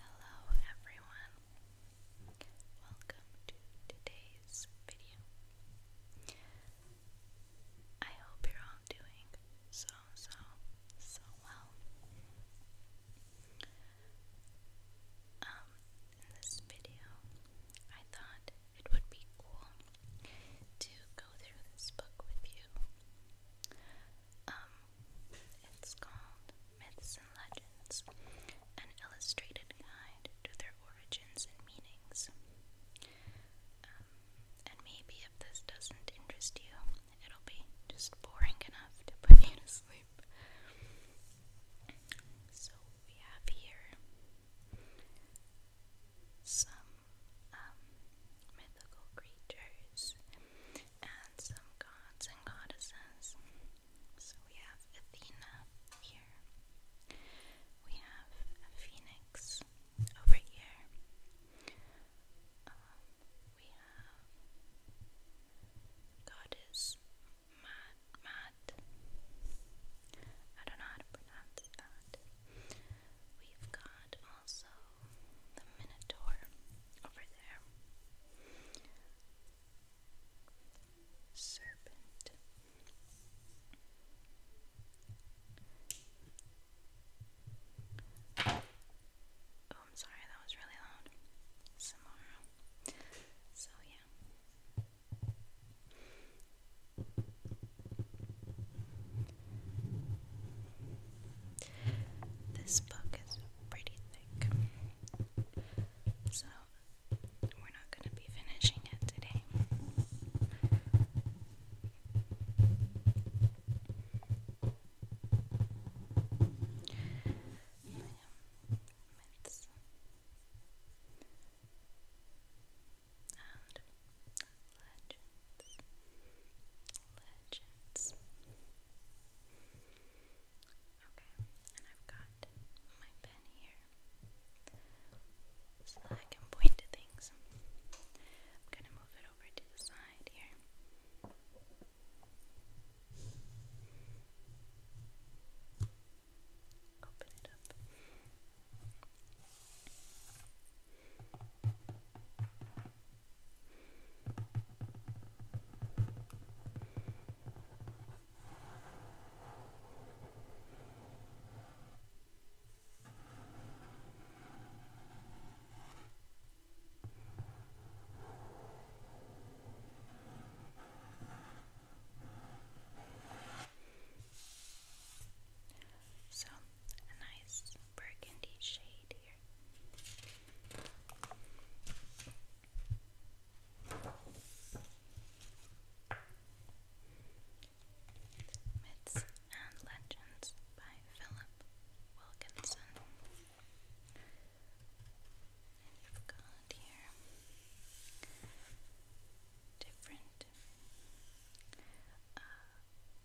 Hello everyone. Welcome to today's video. I hope you're all doing so so so well. Um in this video, I thought it would be cool to go through this book with you. Um, it's called Myths and Legends, an illustrated guide to their origins and meanings. Um, and maybe if this doesn't interest you, it'll be just boring enough to put you to sleep. So we have here some um, mythical creatures and some gods and goddesses. So we have Athena here, we have a phoenix over here, um, we have goddess Mat. Mat. I don't know how to pronounce that. We've got also the Minotaur over there. Serpent. Oh, I'm sorry, that was really loud. Samara. So, yeah. This book is pretty thick, so we're not going to be finishing it today. Myths and legends legends. Okay, and I've got my pen here so I can point to things. I'm gonna move it over to the side here. Open it up. So, a nice burgundy shade here. Myths and Legends by Philip Wilkinson. you've got here different uh,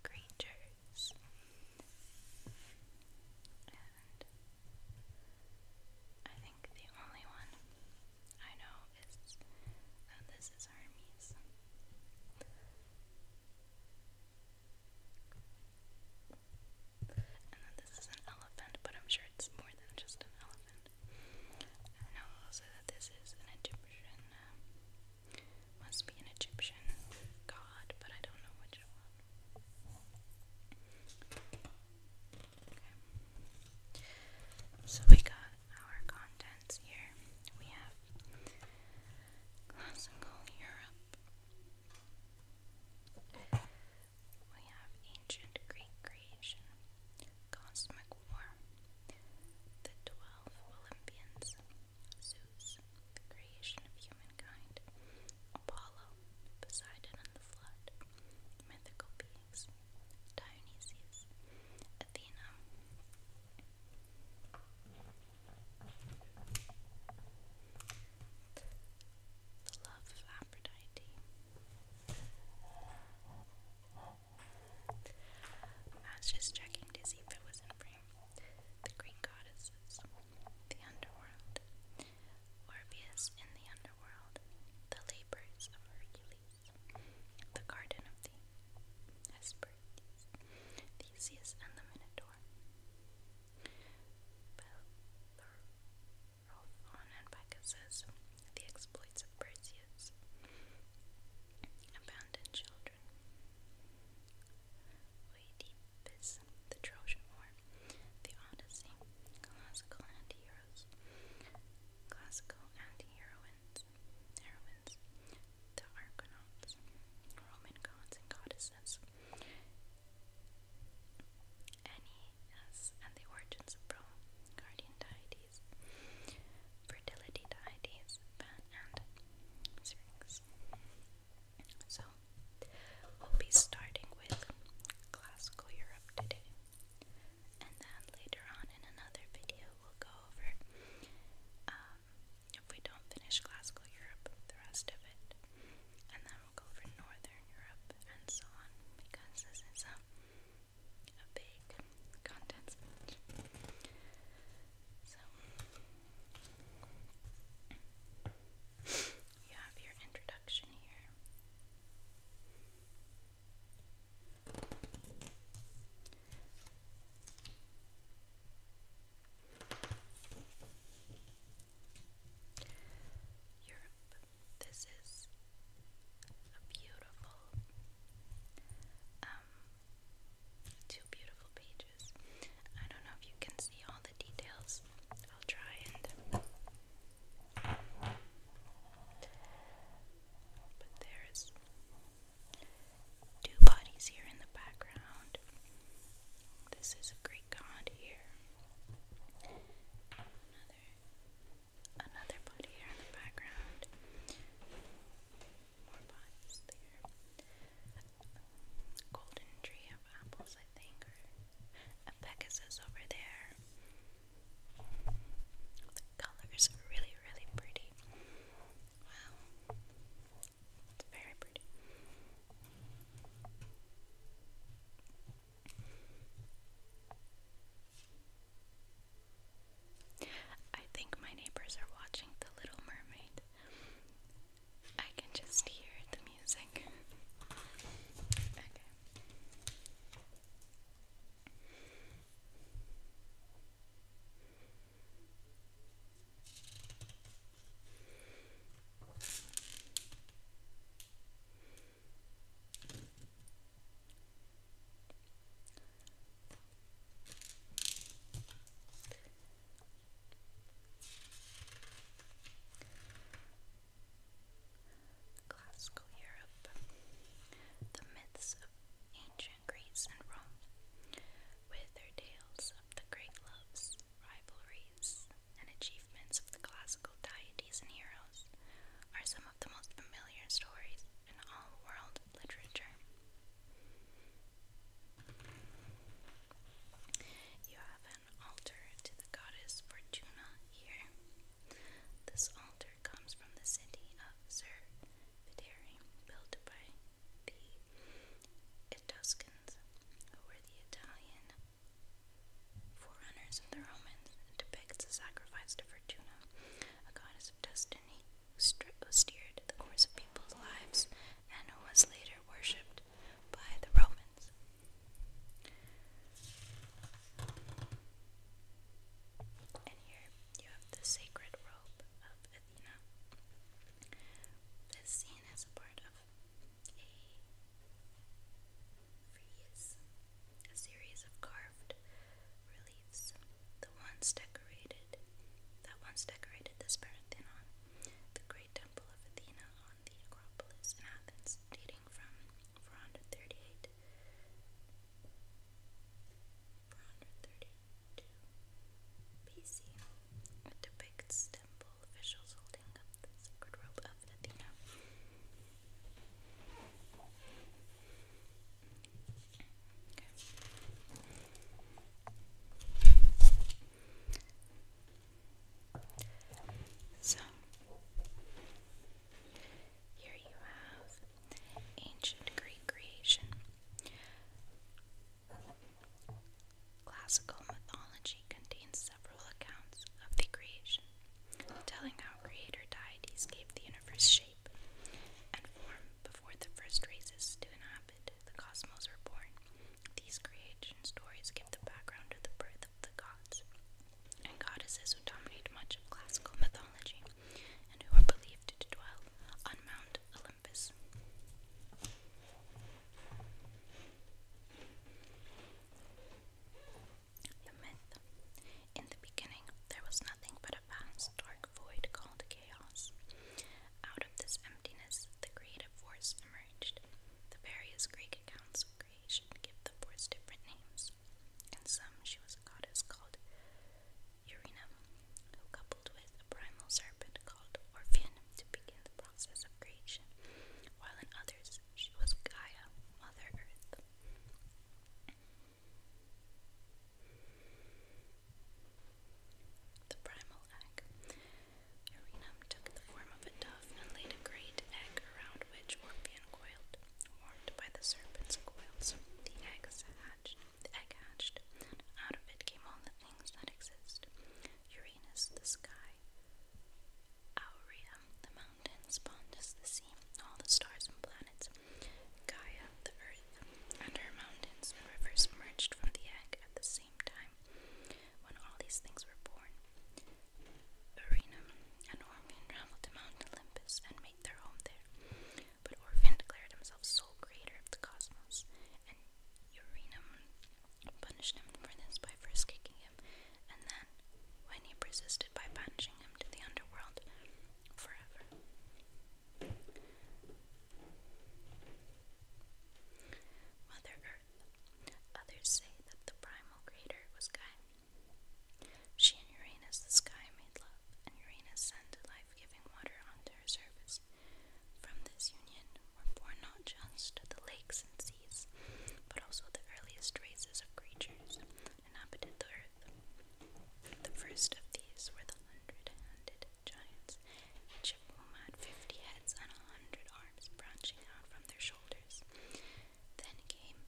creatures. I think the only one I know is that this is Hermes. And this is an elephant, but I'm sure it's more than just an elephant. I know also that this is an Egyptian, uh, must be an Egyptian god, but I don't know which one. So we got our contents here. We have classical Europe. We have ancient Greek creation, cosmic war, the twelve Olympians, Zeus, the creation of humankind, Apollo, Poseidon and the flood, mythical beings, Dionysius, Athena. The love of Aphrodite. I was just checking to see if it was in frame. The Greek goddesses, the underworld, Orpheus in the underworld, the labors of Hercules, the garden of the Hesperides, Theseus and the Minotaur, Bellerophon and Pegasus, the exploits of Perseus, abandoned children, Oedipus, The Trojan War, The Odyssey, Classical Anti-Heroes, Classical Anti-Heroines, The Argonauts, Roman Gods and Goddesses, Aeneas and the Origins of Rome, Guardian Deities, Fertility Deities, Pan and Syrinx. So, we'll be starting with classical Europe today. And then later on in another video, we'll go over, um, if we don't finish classical Europe, the rest of it. And then we'll go over northern Europe and so on, because this is a, big content you have your introduction here. Europe. This is a beautiful, um, two beautiful pages. I don't know if you can see all the details. I'll try and um, but there's two bodies here in the background. This is a Greek god here. Another another body here in the background. More bodies Golden tree of apples, I think, a Pegasus over there. The colors are really, really pretty. Wow. It's very pretty. I think my neighbors are watching The Little Mermaid. I can just hear the music. okay. Classical Europe, the myths of ancient Greece and Rome, with their tales of the great loves, rivalries, and achievements of the classical deities and heroes, are some of the most familiar stories in all world literature an altar to the goddess Fortuna here. This altar comes from the city of Zervidere, built by the Etruscans, who were the Italian forerunners of the Romans. It depicts a sacrifice to Fortuna, a goddess of destiny who, who steered the course of people's lives and who was later worshipped by the Romans. And here you have the sacred robe of Athena. This scene is part of a series of carved reliefs. The ones decorated, that once decorated this Parthenon, the great temple of Athena on the Acropolis in Athens years, dating from 438 BC. It depicts temple officials holding up the sacred robe of Athena. So, here you have ancient Greek creation, classical mythology contains several accounts of the creation, telling how creator deities gave the universe shape and form before the first races to inhabit the cosmos were born. These creation stories give the background of the birth the gods and goddesses who dominate much of classical mythology and who are believed to dwell on Mount Olympus. In the beginning, there was nothing but a vast, dark void called chaos. Out of this emptiness, the creative force emerged. The various Greek accounts creation give the boards different names. In some, she was a goddess called Urina, who coupled with a primal serpent called Orphean to begin the process of creation, while in others, she was Gaia, Mother Earth. The primal egg. Urenum took the form of a dove and laid a great egg around which Orphean coiled. Warmed by the serpent's coils, the egg hatched. The egg hatched, out of it came all the things that exist: Uranus, the sky; Aurea, the mountains; Pontus, the sea; all the stars and planets; Gaia, the earth, and mountains and rivers emerged from the egg at the same time when all these things were born. Urinum and Orphean traveled to Mount Olympus and made their home there. But Orphean declared himself sole creator of the cosmos, and Urinum punished him for this by first kicking him, and then, when he persisted, by banishing him to the underworld forever. Mother Earth. Others say that the primal creator was Gaia. She and Uranus, the sky, made love, and Uranus sent life giving water onto her surface. From this union were born not just the lakes and seas, but also the earliest races of creatures inhabited the earth. The first of these were the hundred handed giants, each of whom had fifty heads and a hundred arms branching out from their shoulders. Then came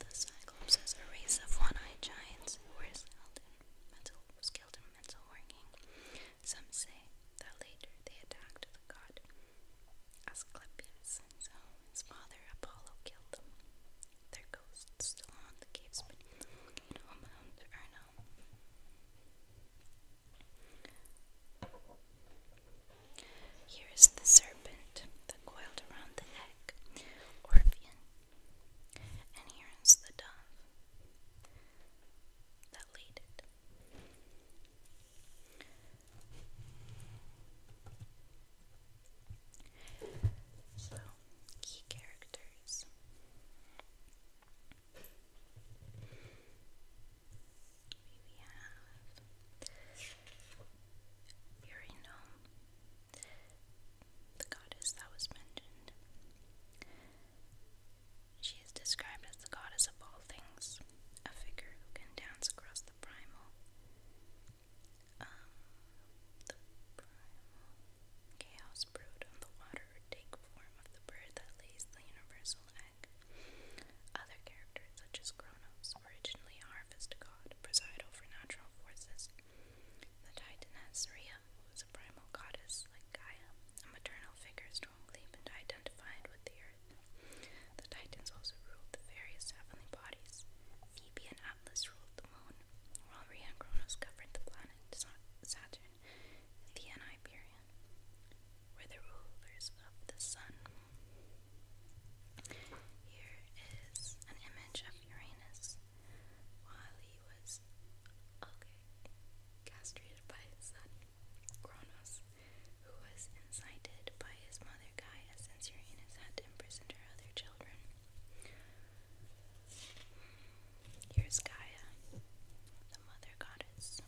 the Cyclops as a race of one-eyed giants who were skilled in mental, working. Some say that later they attacked the god Asclepius, and so his father Apollo killed them. Their ghosts still haunt the caves beneath Mount Erno. Here is the serpent that coiled around the egg, Orphean, and here is the dove that laid it. So, key characters we have Urinome, the goddess that was mentioned. She is described as the goddess of all things, a figure who can dance across the primal. Um, chaos brood on the water take form of the bird that lays the universal egg. Other characters, such as Kronos, originally a harvest god, preside over natural forces. The Titaness Rhea was a primal goddess, like Gaia, a maternal figure strongly identified with the earth. The Titans also ruled the various heavenly bodies. Phoebe and Atlas ruled the moon, while Rhea and Kronos governed the planet Saturn, Thea Hyperion were the rulers of the sun. Here is an image of Uranus while he was okay, castrated by his son, Kronos, who was incited by his mother Gaia since Uranus had imprisoned her other children. Here's Gaia, the mother goddess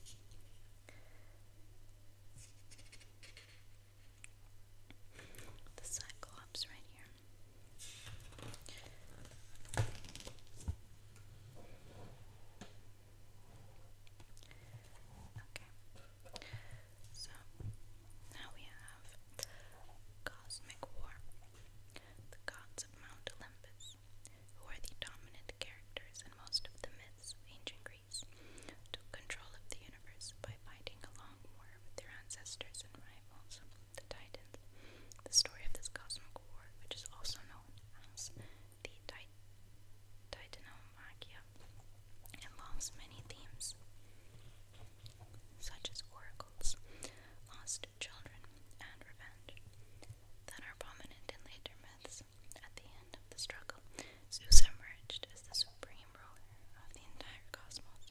the Cyclops right here. Okay, so now we have Cosmic War, the gods of Mount Olympus, who are the dominant characters in most of the myths of ancient took control of the universe by fighting a long war with their ancestors and rivals, the Titans. The story of this cosmic war, which is also known as the Titan. Titanomachia involves many themes such as oracles, lost children, and revenge that are prominent in later myths. At the end of the struggle, Zeus emerged as the supreme ruler of the entire cosmos,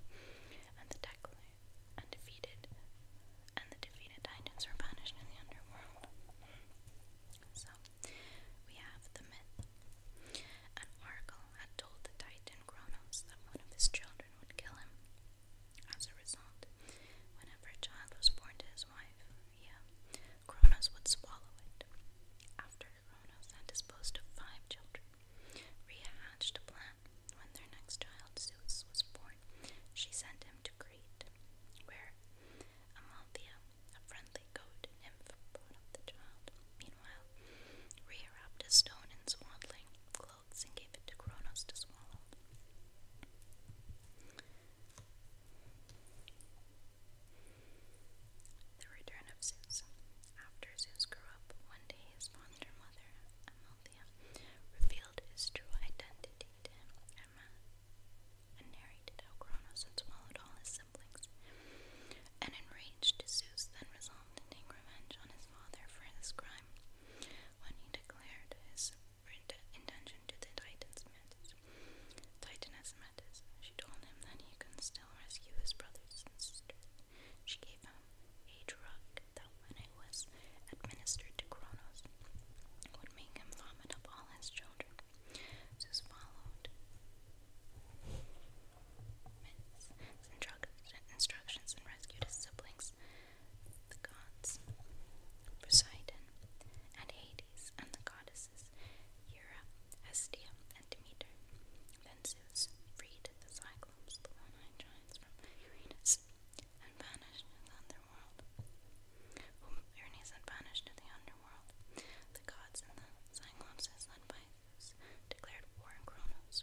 and the Declan and and the defeated titans were banished in the underworld. So we have the myth. An oracle had told the titan Cronos that one of his children would kill him. As a result, whenever a child was born to his wife, yeah, Kronos would swallow it. After Kronos and disposed of five children. Rhea hatched a plan. When their next child, Zeus, was born, she sent him to Crete, where Amalthea, a friendly goat nymph, brought up the child. Meanwhile, Rhea wrapped a stone in swaddling clothes and gave it to Kronos to swallow. The return of Zeus. After Zeus grew up, one day his fonder mother, Amalthea, revealed his true identity to him and narrated how Kronos had swallowed all his siblings. An enraged Zeus then resolved to take revenge on his father for this crime when he declared his intention to the Titans' midst. Titaness met She told him that he could still rescue his brothers and sisters. She gave him a drug that, when it was administered to Kronos, would make him vomit up all his children. Zeus followed Myth's instructions and rescued his siblings, the gods Poseidon and Hades, and the goddess goddesses and Demeter. Then the Cyclops, the one-eyed giants, Uranus, and banished the underworld. the underworld. The gods and the Cyclopses, led by Zeus, declared war on Kronos.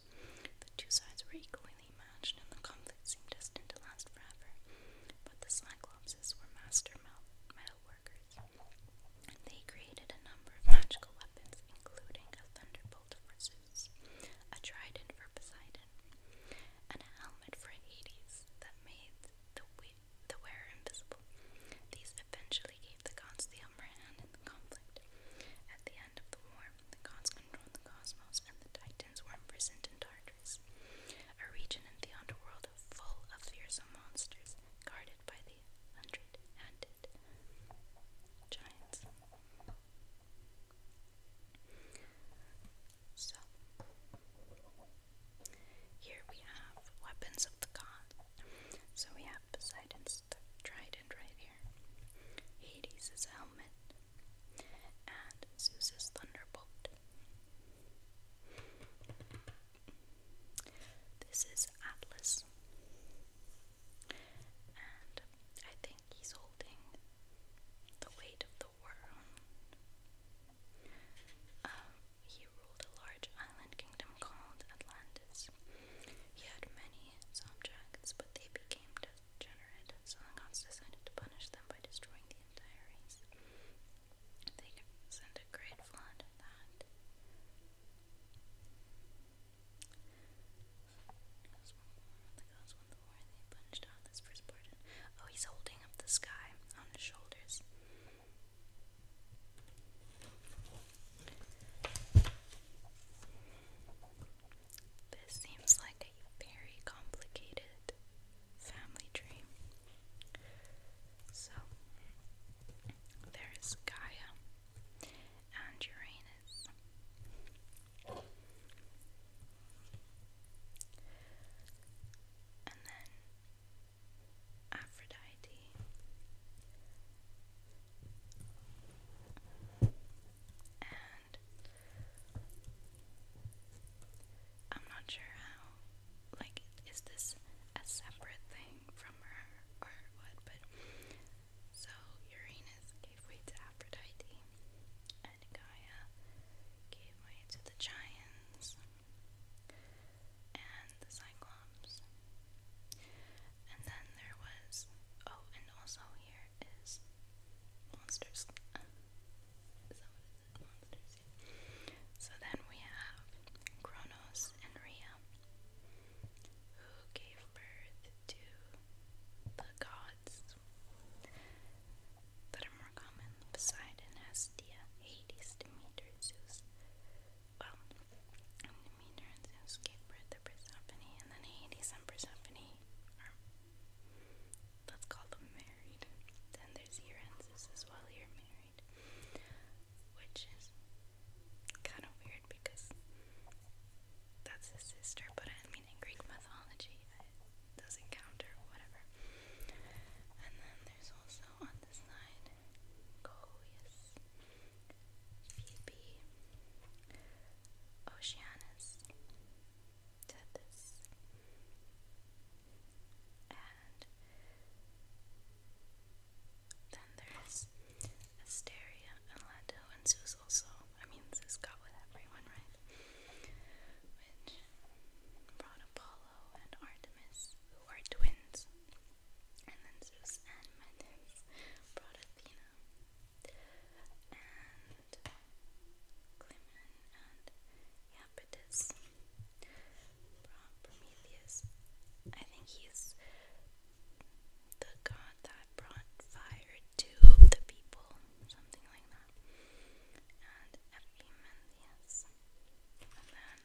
The two sides were equally matched, and the conflict seemed destined to last forever. But the Cyclopes were master metalworkers, they created a number of magical weapons, including a thunderbolt for Zeus, a trident for Poseidon, and a helmet for Hades that made the, wearer invisible. These eventually gave the gods the upper hand in the conflict. At the end of the war, the gods controlled the cosmos and the titans were imprisoned in Tartarus, a region in the underworld full of fearsome monsters guarded by the hundred-handed giants. So, here we have weapons of the gods. So we have Poseidon's trident right here, Hades' helmet, and Zeus' thunderbolt. This is Atlas, and I think he's holding the weight of the world. Um, he ruled a large island kingdom called Atlantis. He had many subjects, but they became degenerate, so Langots decided to punish them by destroying the entire race. They sent a great flood that Oh, he's holding up the sky on his shoulders. This seems like a very complicated family tree. So, there is Gaia and Uranus. And then Aphrodite. And I'm not sure how, like, is this a separate thing? from her or what, but so Uranus gave way to Aphrodite, and Gaia gave way to the Giants and the Cyclops. And then there was oh, and also here is monsters. So then we have Kronos and Rhea who gave birth to the gods that are more common. Poseidon, Hestia, Hades, Demeter, Zeus. Well, Demeter and Zeus gave birth to Persephone, and then Hades and Persephone let's call them married. Then there's Uranus as well, you're married which is kind of weird because that's his sister, but I mean, in Greek mythology, doesn't count or whatever. And then there's also on the side Coeus, Phoebe, Oceanus, Tethys, and then there's Asteria, Elando, and Zeus also. I mean, Zeus got with everyone, right? Which brought Apollo and Artemis, who are twins. And then Zeus and Metis brought Athena. And Clymen and Iapetus brought Prometheus. I think he's the god that brought fire to the people, something like that. And Epimetheus. And then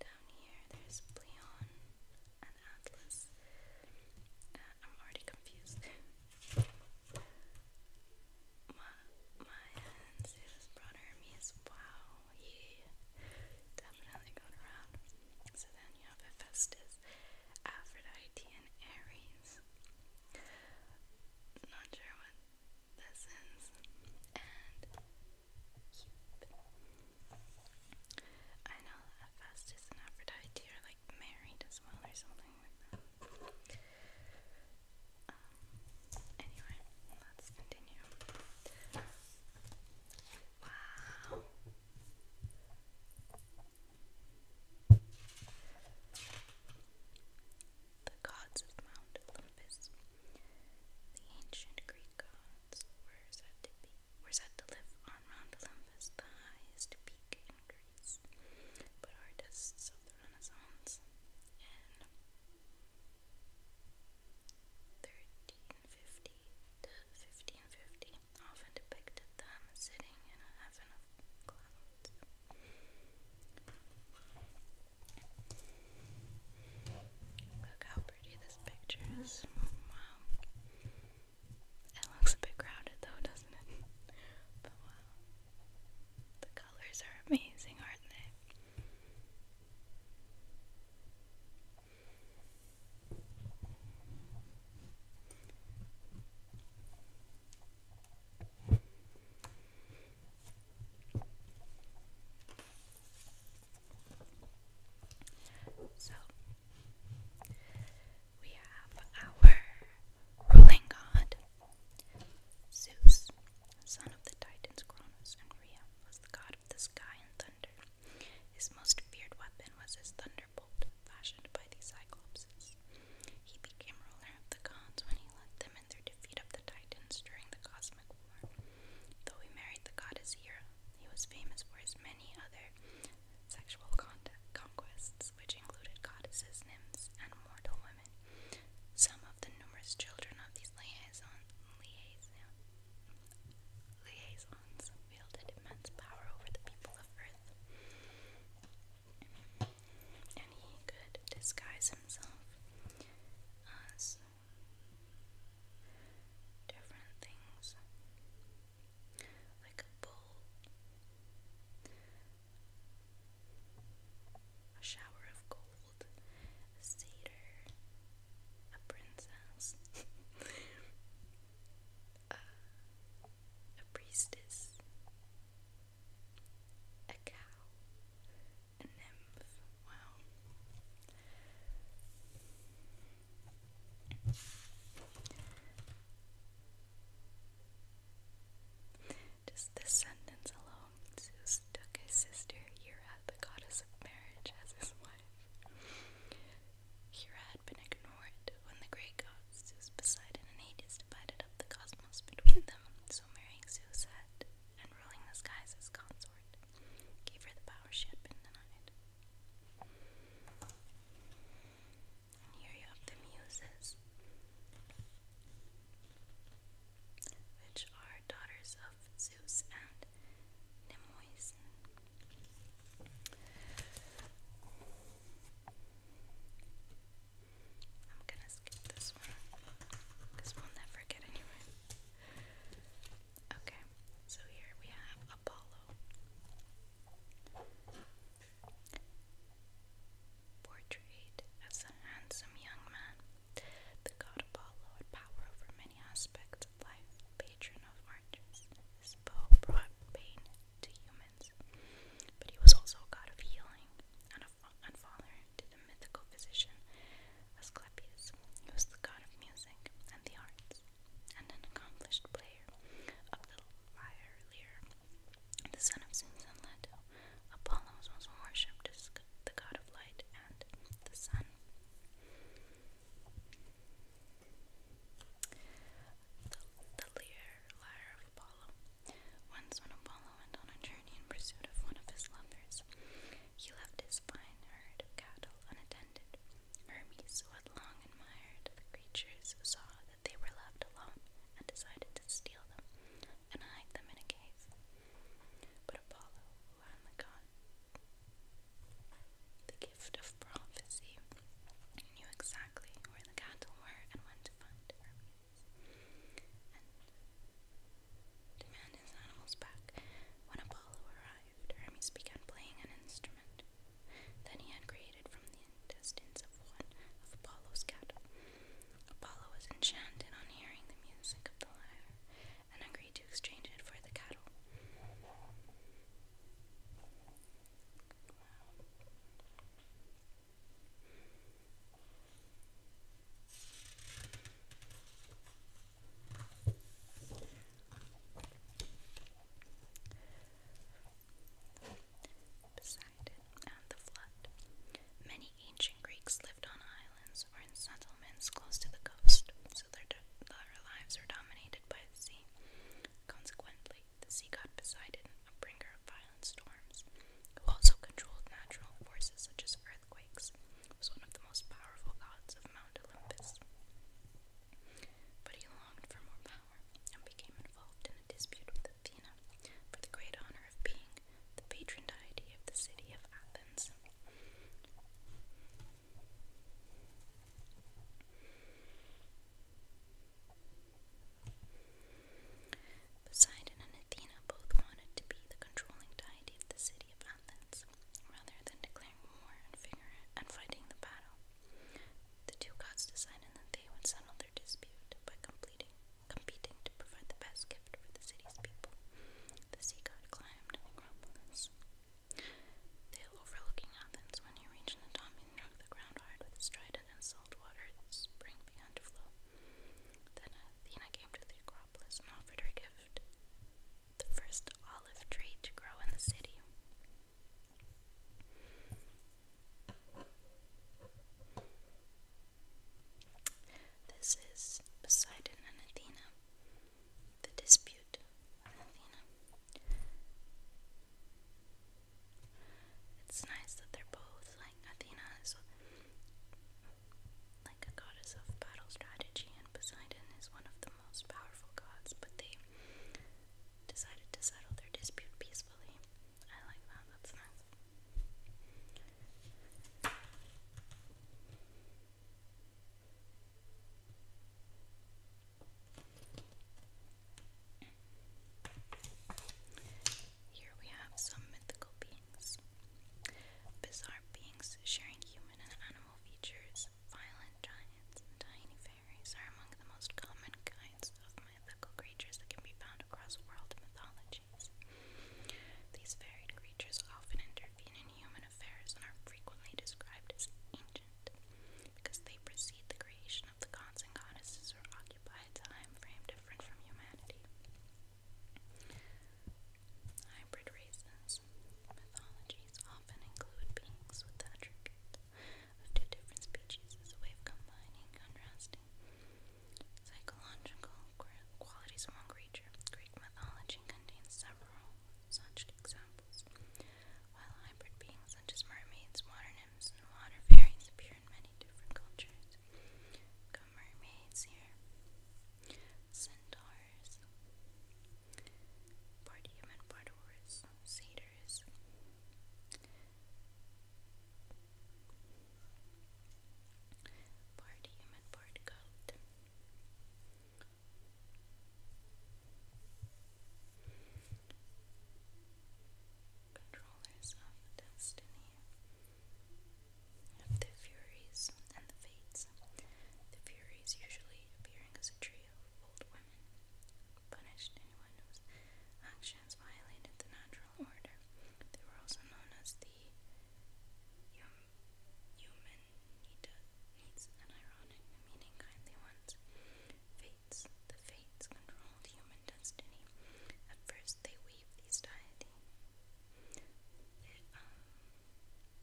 down here there's Pleon and Atlas. Uh, I'm already confused. my my brought Hermes. Wow, he definitely got around. So then you have Hephaestus, Aphrodite, and Aries. Not sure what this is. And Cupid. I know that Hephaestus and Aphrodite are like married as well or something like that. Um, anyway, let's continue. Wow. The gods of Mount Olympus. The ancient Greek gods were said to be were said to live on Mount Olympus, the highest peak in Greece. But artists of the Renaissance and fifty to fifty and fifty often depicted them sitting in a heaven of clouds. Look how pretty this picture is. Wow. It looks a bit crowded though, doesn't it? But wow. The colors are amazing, aren't they? So we have our ruling god, Zeus, son of the Titans Cronus and Rhea, was the god the sky and thunder. His most feared weapon was his thunderbolt, fashioned by the Cyclopses. He became ruler of the gods when he led them in their defeat of the Titans during the Cosmic War. Though he married the goddess Hera, he was famous for his many other sexual conquests, which included goddesses, nymphs, and mortal women. Some of the numerous children of these liaisons liaisons wielded immense power over the people of Earth, and he could disguise himself as different things, like a bull, a shower of gold, a cedar, a princess, a priestess, a cow, a nymph. Wow. Just this sentence alone, Zeus took his sister Hera, the goddess of marriage, as his wife. Hera had been ignored when the great gods Zeus, Poseidon, and Hades divided up the cosmos between them, so marrying Zeus had, and ruling the skies as consort, gave her the power she had been denied. And here you have the Muses, which are daughters Zeus and Nemoisen. I'm gonna skip this one because we'll never get anywhere. Okay, so here we have Apollo. Portrayed as a handsome young man, the god Apollo had power over many aspects life patron of oranges, his bow brought pain to humans, but he was also a god of healing and, a, and father to the mythical physician Asclepius. He was the god of music and the arts, and an accomplished player of the lyre lyre. The son of Zeus and Leto, Apollo was also worshipped as the god of light and the sun. The, Lear, lyre of Apollo. Once, when Apollo went on a journey in pursuit of one of his lovers, he left his fine herd of cattle unattended. Hermes, who had long admired the creatures, saw that they were left alone and decided to steal them and hide them in a cave. But Apollo, Ramakan, the gift of prophecy, knew exactly where the cattle were and when to find Hermes, and demand his animals back. When Apollo arrived, Hermes began playing an instrument that he had created from the intestines of one of Apollo's cattle. Apollo was enchanted on hearing the music of the lyre and agreed to exchange it for the cattle. Poseidon and the flood. Many ancient Greeks lived on islands or in settlements close to the coast their, lives were dominated by the sea. Consequently, the sea god Poseidon, a bringer of violent storms, who also controlled natural forces such as earthquakes, was one of the most powerful gods of Mount Olympus. But he longed for more power and became involved in a dispute with Athena for the great honor of being the patron deity of the city of Athens. Poseidon and Athena both wanted to be the controlling deity of the city of Athens, rather than declaring war and, fighting the battle. The two gods decided that they would settle their dispute by completing, competing to provide the best gift for the city's people. The sea god climbed Acropolis. The overlooking Athens, when he reached Natami, he knocked the ground with his trident and salt water. The spring began to flow. Then Athena came to the Acropolis and offered her gift, the first olive tree to grow in the city. This is Poseidon and Athena. The Dispute Athena. It's nice that they're both like Athena is like a goddess of battle strategy, and Poseidon is one of the most powerful gods, but they decided to settle their dispute peacefully. I like that, that's nice. Here we have some mythical beings. Bizarre beings sharing human and animal features, violent giants, and tiny fairies are among the most common kinds of mythical creatures that can be found across world mythologies. These varied creatures often intervene in human affairs and are frequently described as ancient because they precede the creation of the gods and goddesses or occupy a time frame different from humanity. Hybrid races. Mythologies often include beings with attributes of two different species as a way of combining, contrasting psychological qualities of one creature. Greek mythology contains several such examples. While hybrid beings such as mermaids, water nymphs, and water fairies appear in many different cultures, go mermaids here, centaurs, part human, part horse, satyrs. Part human, part goat. Controllers of destiny, of the Furies and the Fates. The Furies usually appearing as a trio of old women, punished anyone whose actions violated the natural order. They were also known as the Human an ironic meaning, kindly ones. Fates. The Fates controlled human destiny. At first, they weave these deity the, um,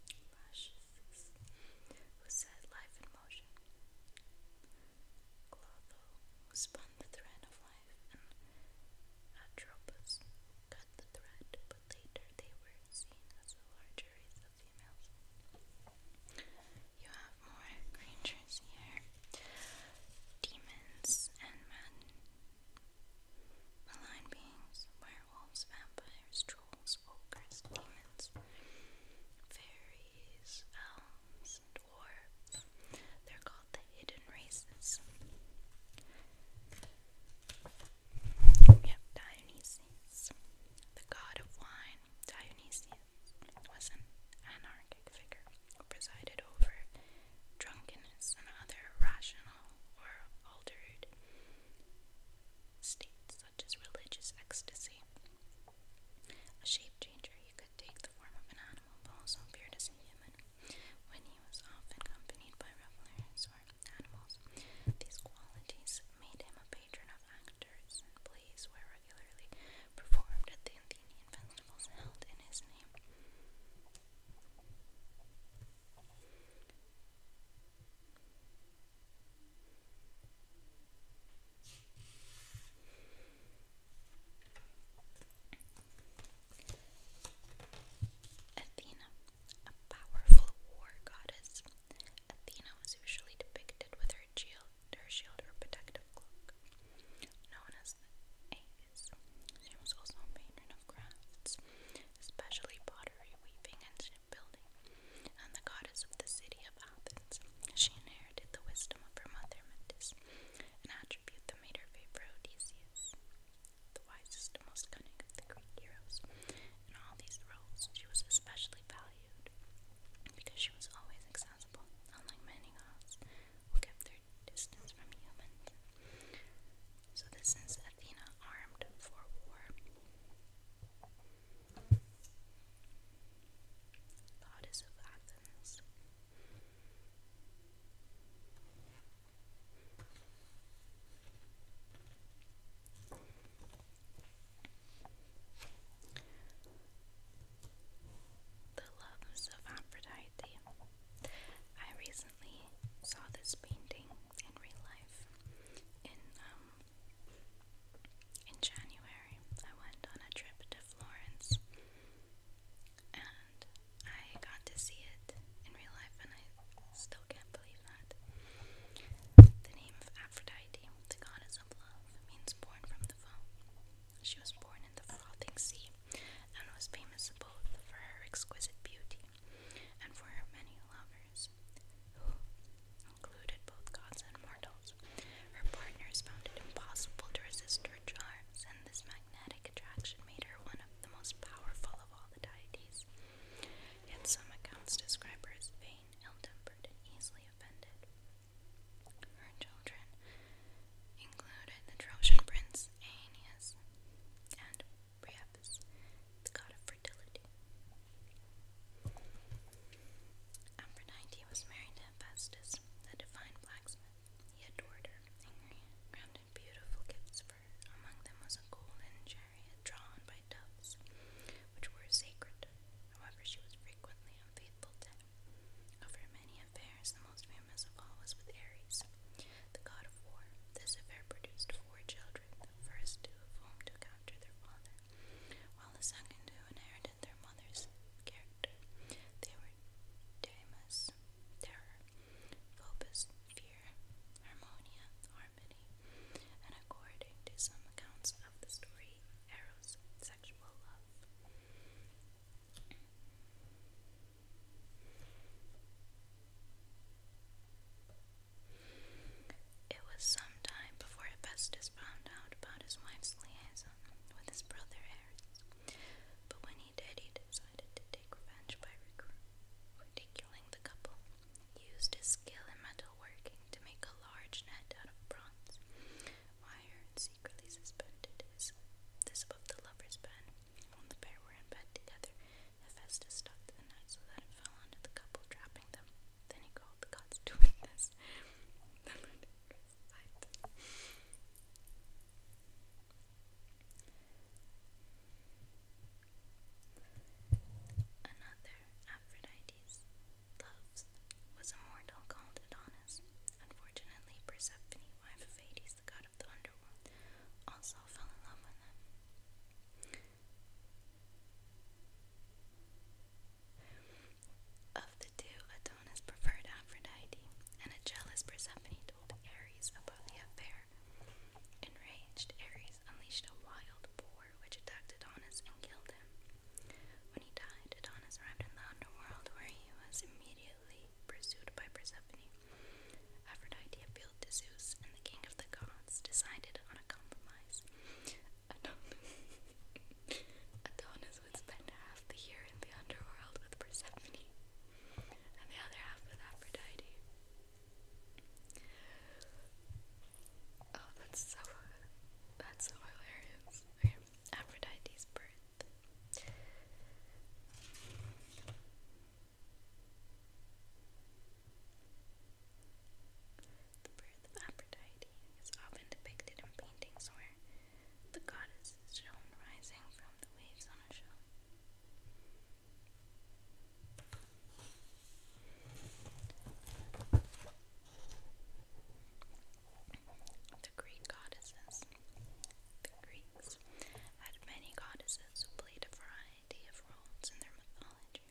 who set life in motion. Clotho, who spun the thread of life, and Atropos, cut the thread, but later they were seen as a larger race of females. You have more creatures here. Demons and men. Malign beings, werewolves, vampires, trolls, ogres, demons, fairies, elves, and dwarves. They're called the hidden races. We have Dionysus, the god of wine time, was an anarchic figure who presided over drunkenness and other irrational or altered states, such as religious ecstasy. A shape changer, he could take the form of an animal but also appeared as a human when he was often accompanied by revelers or animals. These qualities made him a patron of actors theaters, and plays where regularly performed at the Athenian festivals held in his name. Athena, a powerful war goddess, Athena was usually depicted with her shield, her shield or protective cloak, known as the Aegis. She was also patron of crafts, especially pottery, weaving, and shipbuilding, and the goddess of the city of Athens. She inherited the wisdom of her mother, Metis, an attribute that made her favor Odysseus, the wisest and most cunning of the Greek heroes. In all these roles, she was especially valued valued because she was always accessible, unlike many gods who kept their distance from humans. So, this is Athena armed for war. Goddess of Athens. The Loves of Aphrodite. I recently saw this painting in real life in um in January. I went on a trip to Florence and I got to see it in real life and I still can't believe that. The name of Aphrodite, the goddess love means born from the foam. She was born in the frothing sea and was famous both for her exquisite beauty and for her many lovers, who included both gods and mortals. Her partners found it impossible to resist her charms, and this magnetic attraction made her one of the most powerful of all the deities. Yet some accounts describe her as vain, ill-tempered, and easily offended. Her children included the Trojan prince Aeneas and Priapus, the god of fertility. Aphrodite was married to Hephaestus, the divine blacksmith. He adored her and granted beautiful gifts for her. Among them was a golden chariot drawn by doves, which were sacred. However, she was frequently unfaithful to him. Over many affairs, the most famous of all was with Ares, the god of war. This affair produced four children, the first two of whom took after their father, while the second two inherited their mother's character. They were Damas, Terror, Phobos, Fear, Harmonia, Harmony, and according to some accounts of the story, Harry sexual love. It was some time before Hephaestus found out about his wife's liaison with his brother Ares, but when he did, he decided to take revenge by ridiculing the couple. used his skill in metalworking to make a large net out of bronze wire and secretly suspended this above the lover's bed. When the pair were in bed together, Hephaestus stopped the net so that it fell onto the couple, trapping them. Then he called the gods to witness the ludicrous sight was a mortal called Adonis. Unfortunately, Persephone, wife of Hades, the god of the underworld, also fell in love with him. Of the two, Adonis preferred Aphrodite, and a jealous Persephone told Ares about the affair. Enraged, Ares unleashed a wild boar which attacked Adonis and killed him. When he died, Adonis arrived in the underworld where he was immediately pursued by Persephone. Aphrodite appealed to Zeus, and the king of the gods decided on a compromise. Adonis would spend half the year in the underworld with Persephone, and the other half with Aphrodite. Oh, that's so that's so hilarious. Aphrodite's birth. The birth of Aphrodite is often depicted in paintings where the goddess is shown rising from the waves on a shore. The Greek goddesses. The Greeks had many goddesses who played a variety of roles in their mythology.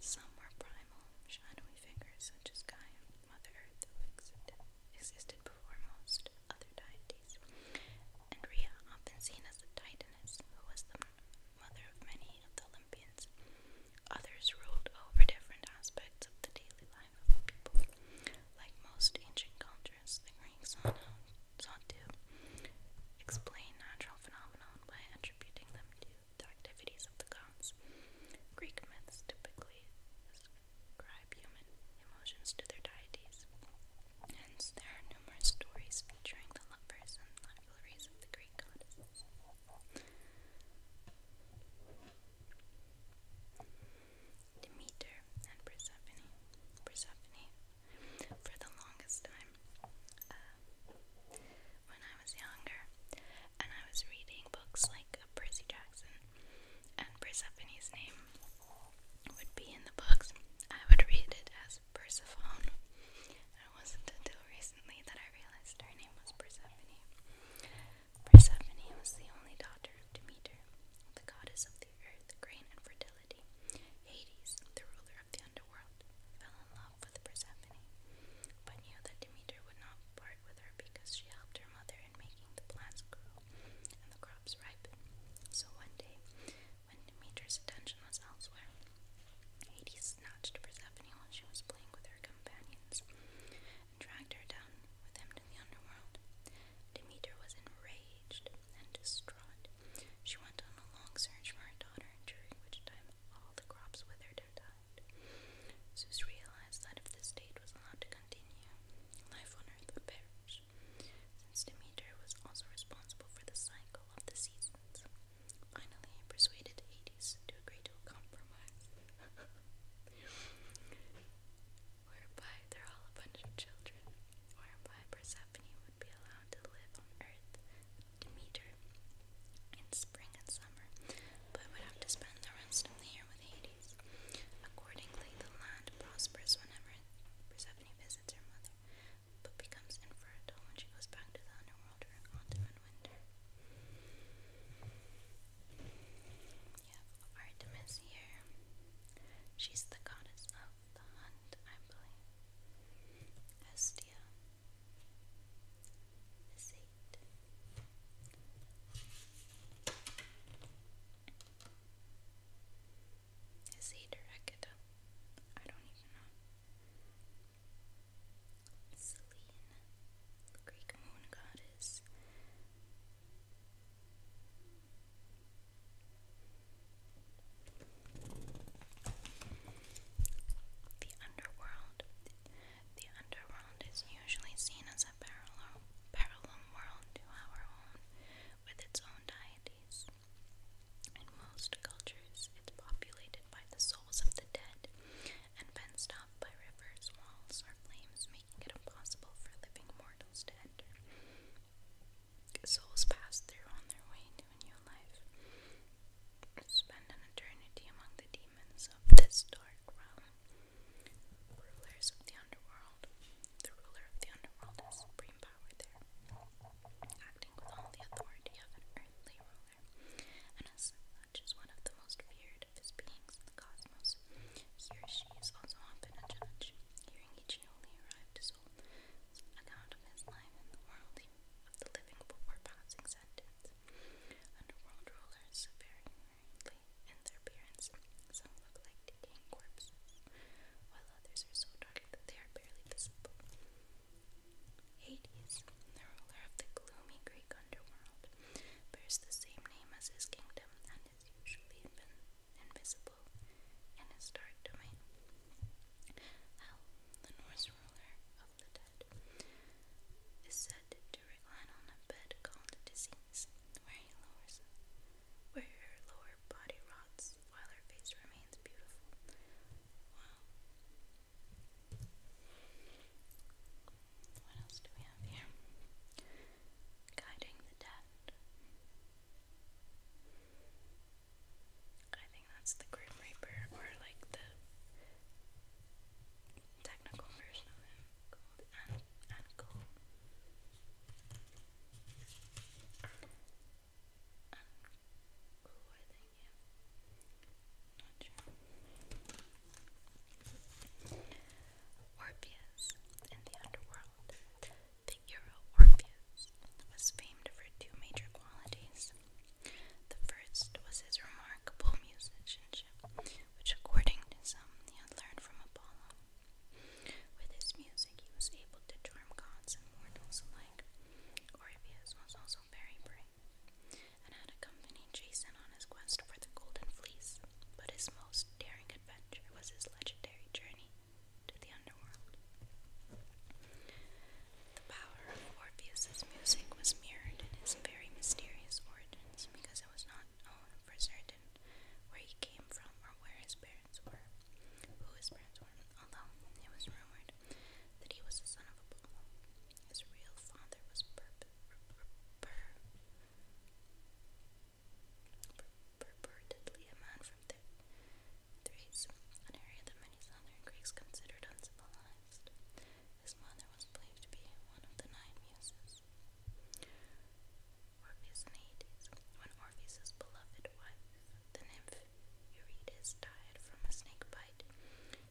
Some were primal, shadowy figures such as Gaia, Mother Earth, who existed, existed before most other deities, and Rhea, often seen as a Titaness, who was the mother of many of the Olympians. Others ruled over different aspects of the daily life of people. Like most ancient cultures, the Greeks sought, sought to explain natural phenomena by attributing them to the activities of the gods. Greek myths typically ascribe human emotions to their deities. Hence, there are numerous stories featuring the lovers and rivalries of the Greek goddesses. Demeter and Persephone. Persephone, for the longest time, uh, when I was younger, and I was reading books like uh, Percy Jackson, and Persephone's name would be in the books, I would read it as Persephone. And it wasn't until recently that I realized her name was Persephone. Persephone was the only daughter of Demeter, the goddess of the earth, the grain, and fertility. Hades, the ruler of the underworld, fell in love with Persephone, but knew that Demeter would not part with her because she helped her mother in making the plants grow and the crops ripen. So one day, when Demeter's attention was elsewhere, Hades snatched Persephone while she was playing with her companions dragged her down with him to the underworld. Demeter was enraged and distraught. She went on a long search for her daughter, during which time all the crops withered and died. Zeus realized that if the state was allowed to continue, life on earth would perish, since Demeter was also responsible for the cycle of the seasons. Finally, he persuaded Hades to agree to a compromise. whereby they're all a bunch of children, whereby Persephone would be allowed to live on Earth with Demeter in spring and summer, but would have to spend the rest of the year with Hades. Accordingly, the land prospers whenever Persephone visits her mother, but becomes infertile when she goes back to the underworld during autumn and winter. We Artemis here. She's the goddess of the hunt, I believe. Hestia. This eight. Is he directed? I don't even know. Selene, Greek moon god, is. The underworld. The underworld is usually seen as a parallel, parallel world to our own, with its own deities. In most cultures, it's populated by the souls of the dead and fenced off by rivers, walls, or flames, making it impossible for living mortals to enter. Souls pass through on their way to a new life. Spend an eternity among the demons of this dark realm. Rulers of the underworld. The ruler of the underworld supreme power there, acting with all the authority of an earthly Uranus, is one of the most feared of beings in the cosmos. He or she is also often a judge, hearing each newly arrived soul's account of his life in the world of the living before passing sentence. Underworld rulers vary greatly in their appearance. Some look like decaying corpses, while others are so dark that they are barely visible. Hades, the ruler of the gloomy Greek underworld, bears the same name as his kingdom and is usually invisible in his dark domain. the Norse ruler of the dead, is said to recline on a bed called disease, where where her lower body rots while her face remains beautiful. What else do we have here? Guiding the dead. I think that's the Grim Reaper, or like the technical version of him Orpheus in the underworld. The hero Orpheus was famed for two major qualities. The first was his remarkable musicianship, which, according to some, he had learned from Apollo. With his music, he was able to charm gods and mortals alike. Orpheus was also very brave and had accompanied Jason on his quest for the Golden Fleece, but his most daring adventure was his legendary journey to the underworld. The power of Orpheus's music was mirrored in his very mysterious origins because it was not known for certain where he came from or where his parents were, who his parents were, although it was rumored that he was the son of Apollo. His real father was per, purportedly a man from Th Thrace, an area that many southern Greeks considered uncivilized. His mother was believed to be one of the nine muses. Orpheus and Hades. When Orpheus's beloved wife, the nymph Eurydice, died from a snake bite,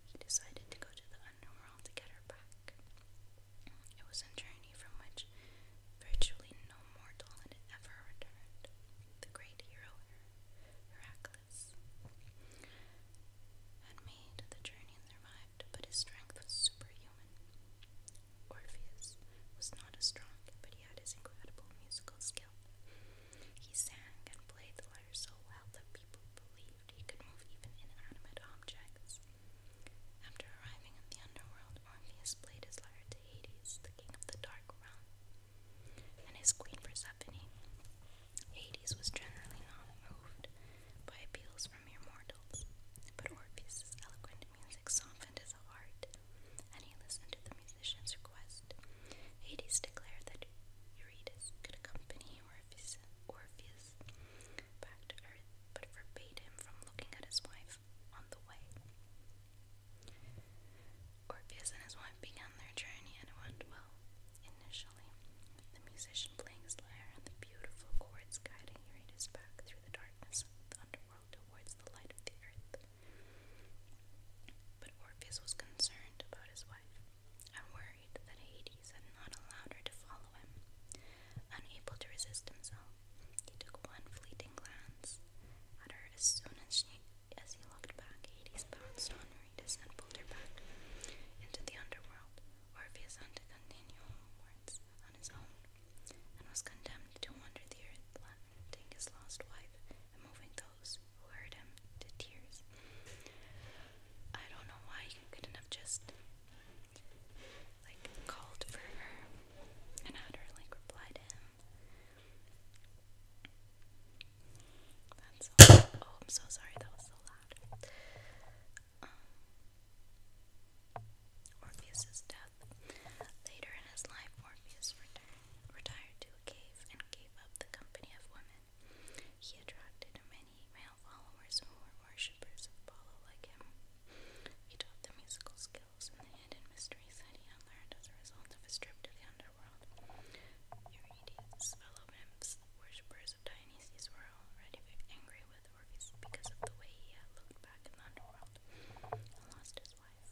he decided to go to the underworld to get her back. It was a journey from which virtually no mortal had ever returned. The great hero Heracles had made the journey and survived, but his strength was superhuman. Orpheus was not as strong, but he had his incredible musical skill. He sang and played the lyre so well that people believed he could move even inanimate objects. After arriving at the underworld, Orpheus played his lyre to Hades, the king of the dark realm, and his queen Persephone. Hades was generally not moved by appeals from mere mortals, but Orpheus's eloquent music softened his heart, and he listened to the musician's request. Hades declared that Eurydice could accompany Orpheus back to earth, but forbade him from looking at his wife on the way. Orpheus and his wife began their journey and it went well, initially, the musician playing his lyre and the beautiful chords guiding Eurytus back through the darkness of the underworld towards the light of the earth. But Orpheus was concerned about his wife and worried that Hades had not allowed her to fall Unable to resist himself, he took one fleeting glance at her as soon as she as he looked back, he pounced on Rita's and pulled her back into the underworld. or had to continue homewards on his own, and was condemned to wander the earth, lamenting his lost wife and moving those who heard him to tears. I don't know why you couldn't have just like called for her and had her like reply to him. That's all. Oh, I'm so sorry. That was so loud. Um, Orpheus's death. Later in his life, Orpheus retired, retired to a cave and gave up the company of women. He attracted many male followers and more worshippers of Apollo like him. He taught the musical skills and the hidden mysteries that he had learned as a result of his trip to the underworld. Eurydice's fellow nymphs, worshippers of Dionysus, were already angry with Orpheus because of the way he had looked back in the underworld and lost his wife.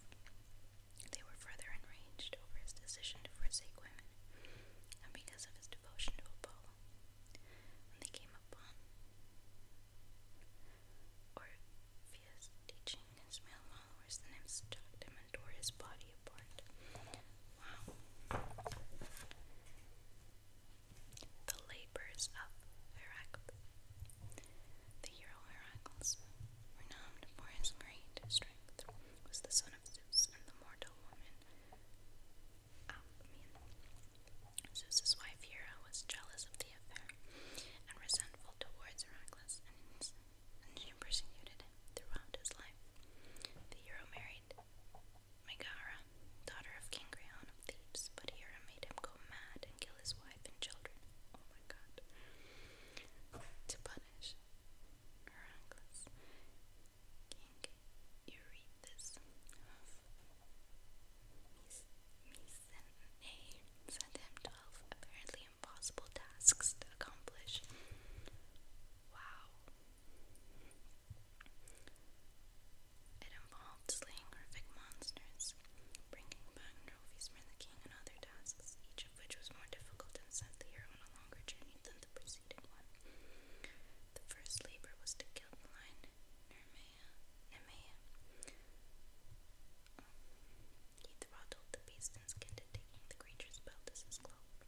They were further enraged over his decision to forsake women and because of his devotion to Apollo. When they came upon Orpheus, teaching his male followers the nymphs to him and tore his body apart. Wow. The labors of Heracles. The hero Heracles, renowned for his great strength, was the son of Zeus and the mortal woman out oh, of me. Zeus's wife Hera was jealous of the affair and resentful towards Heracles, and she persecuted him throughout his life. The hero married Megara, daughter of King Creon of Thebes, but Hera made him go mad and kill his wife and children. Oh my god. To punish Heracles, King Eurytion this Misene sent him twelve apparently impossible tasks to accomplish. Wow. It involved slaying horrific monsters, bringing back trophies for the king, and other tasks, each of which was more difficult and sent the hero on a longer journey than the preceding one. The first labor was to kill the lion Nemea. Um, he throttled the beast and skinned it, taking the creature's belt as his cloak.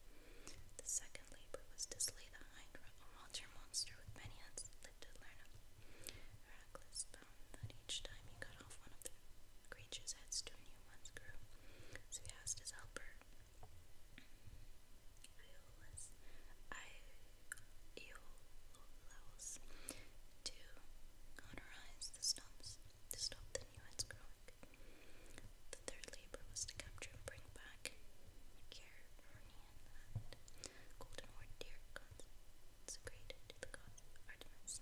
The second labor was to slay the Hydra, a monster monster with many heads that lived at Lerna. Heracles found that each time he cut off one of the creature's heads, two new ones grew, so he asked his helper. I was Iolaus to honorize the stumps to stop the new heads growing. The third labor was to capture and bring back Geronian and golden horned deer consecrated to the god Artemis.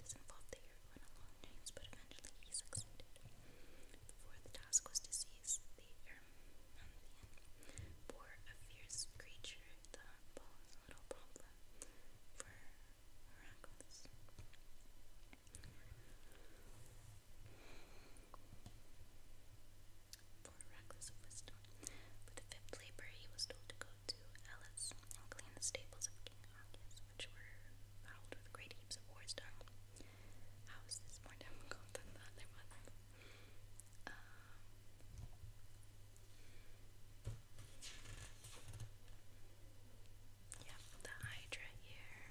This involved the hero in a long chase, but eventually he succeeded. The fourth task was to seize the for a fierce creature, the little problem for Heracles. For Heracles Wisdom. For the fifth labor, he was told to go to Elis and clean the stables of King which were fouled with great heaps of war's dung. How is this more difficult than the other one? Um, Yep, the Hydra here,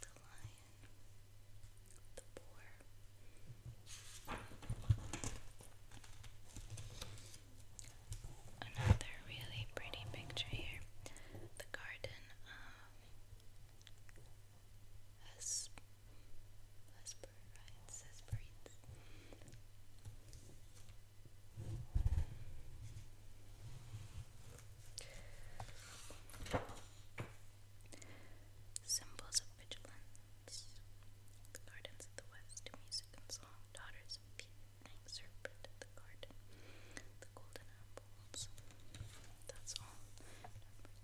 the lion, the boar. Another really pretty picture here the Garden of as as per Symbols of vigilance. gardens of the west, music and song, daughters of evening, serpent the garden, the golden apples. That's all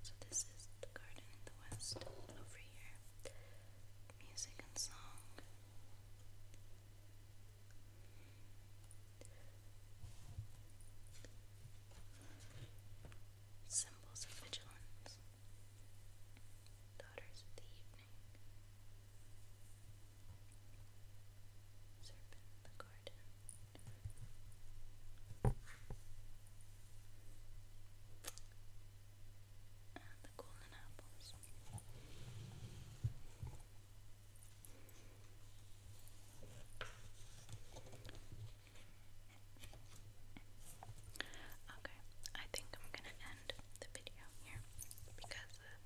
So this is the garden West over here. Music and song. Symbols of vigilance. Daughters of the evening. Serpent in the garden and the golden apples. Okay, I think I'm gonna end the video here because uh,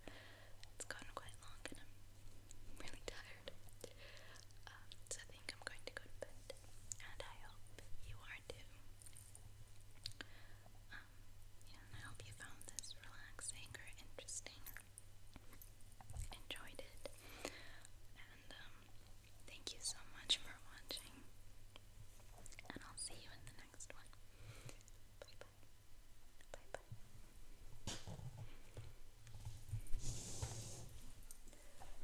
it's gotten quite long and I'm really tired. Um, think I'm going to go to bed, and I hope you are too. Um, and I hope you found this relaxing or interesting, enjoyed it, and um, thank you so much for watching, and I'll see you in the next one. Bye bye. Bye bye.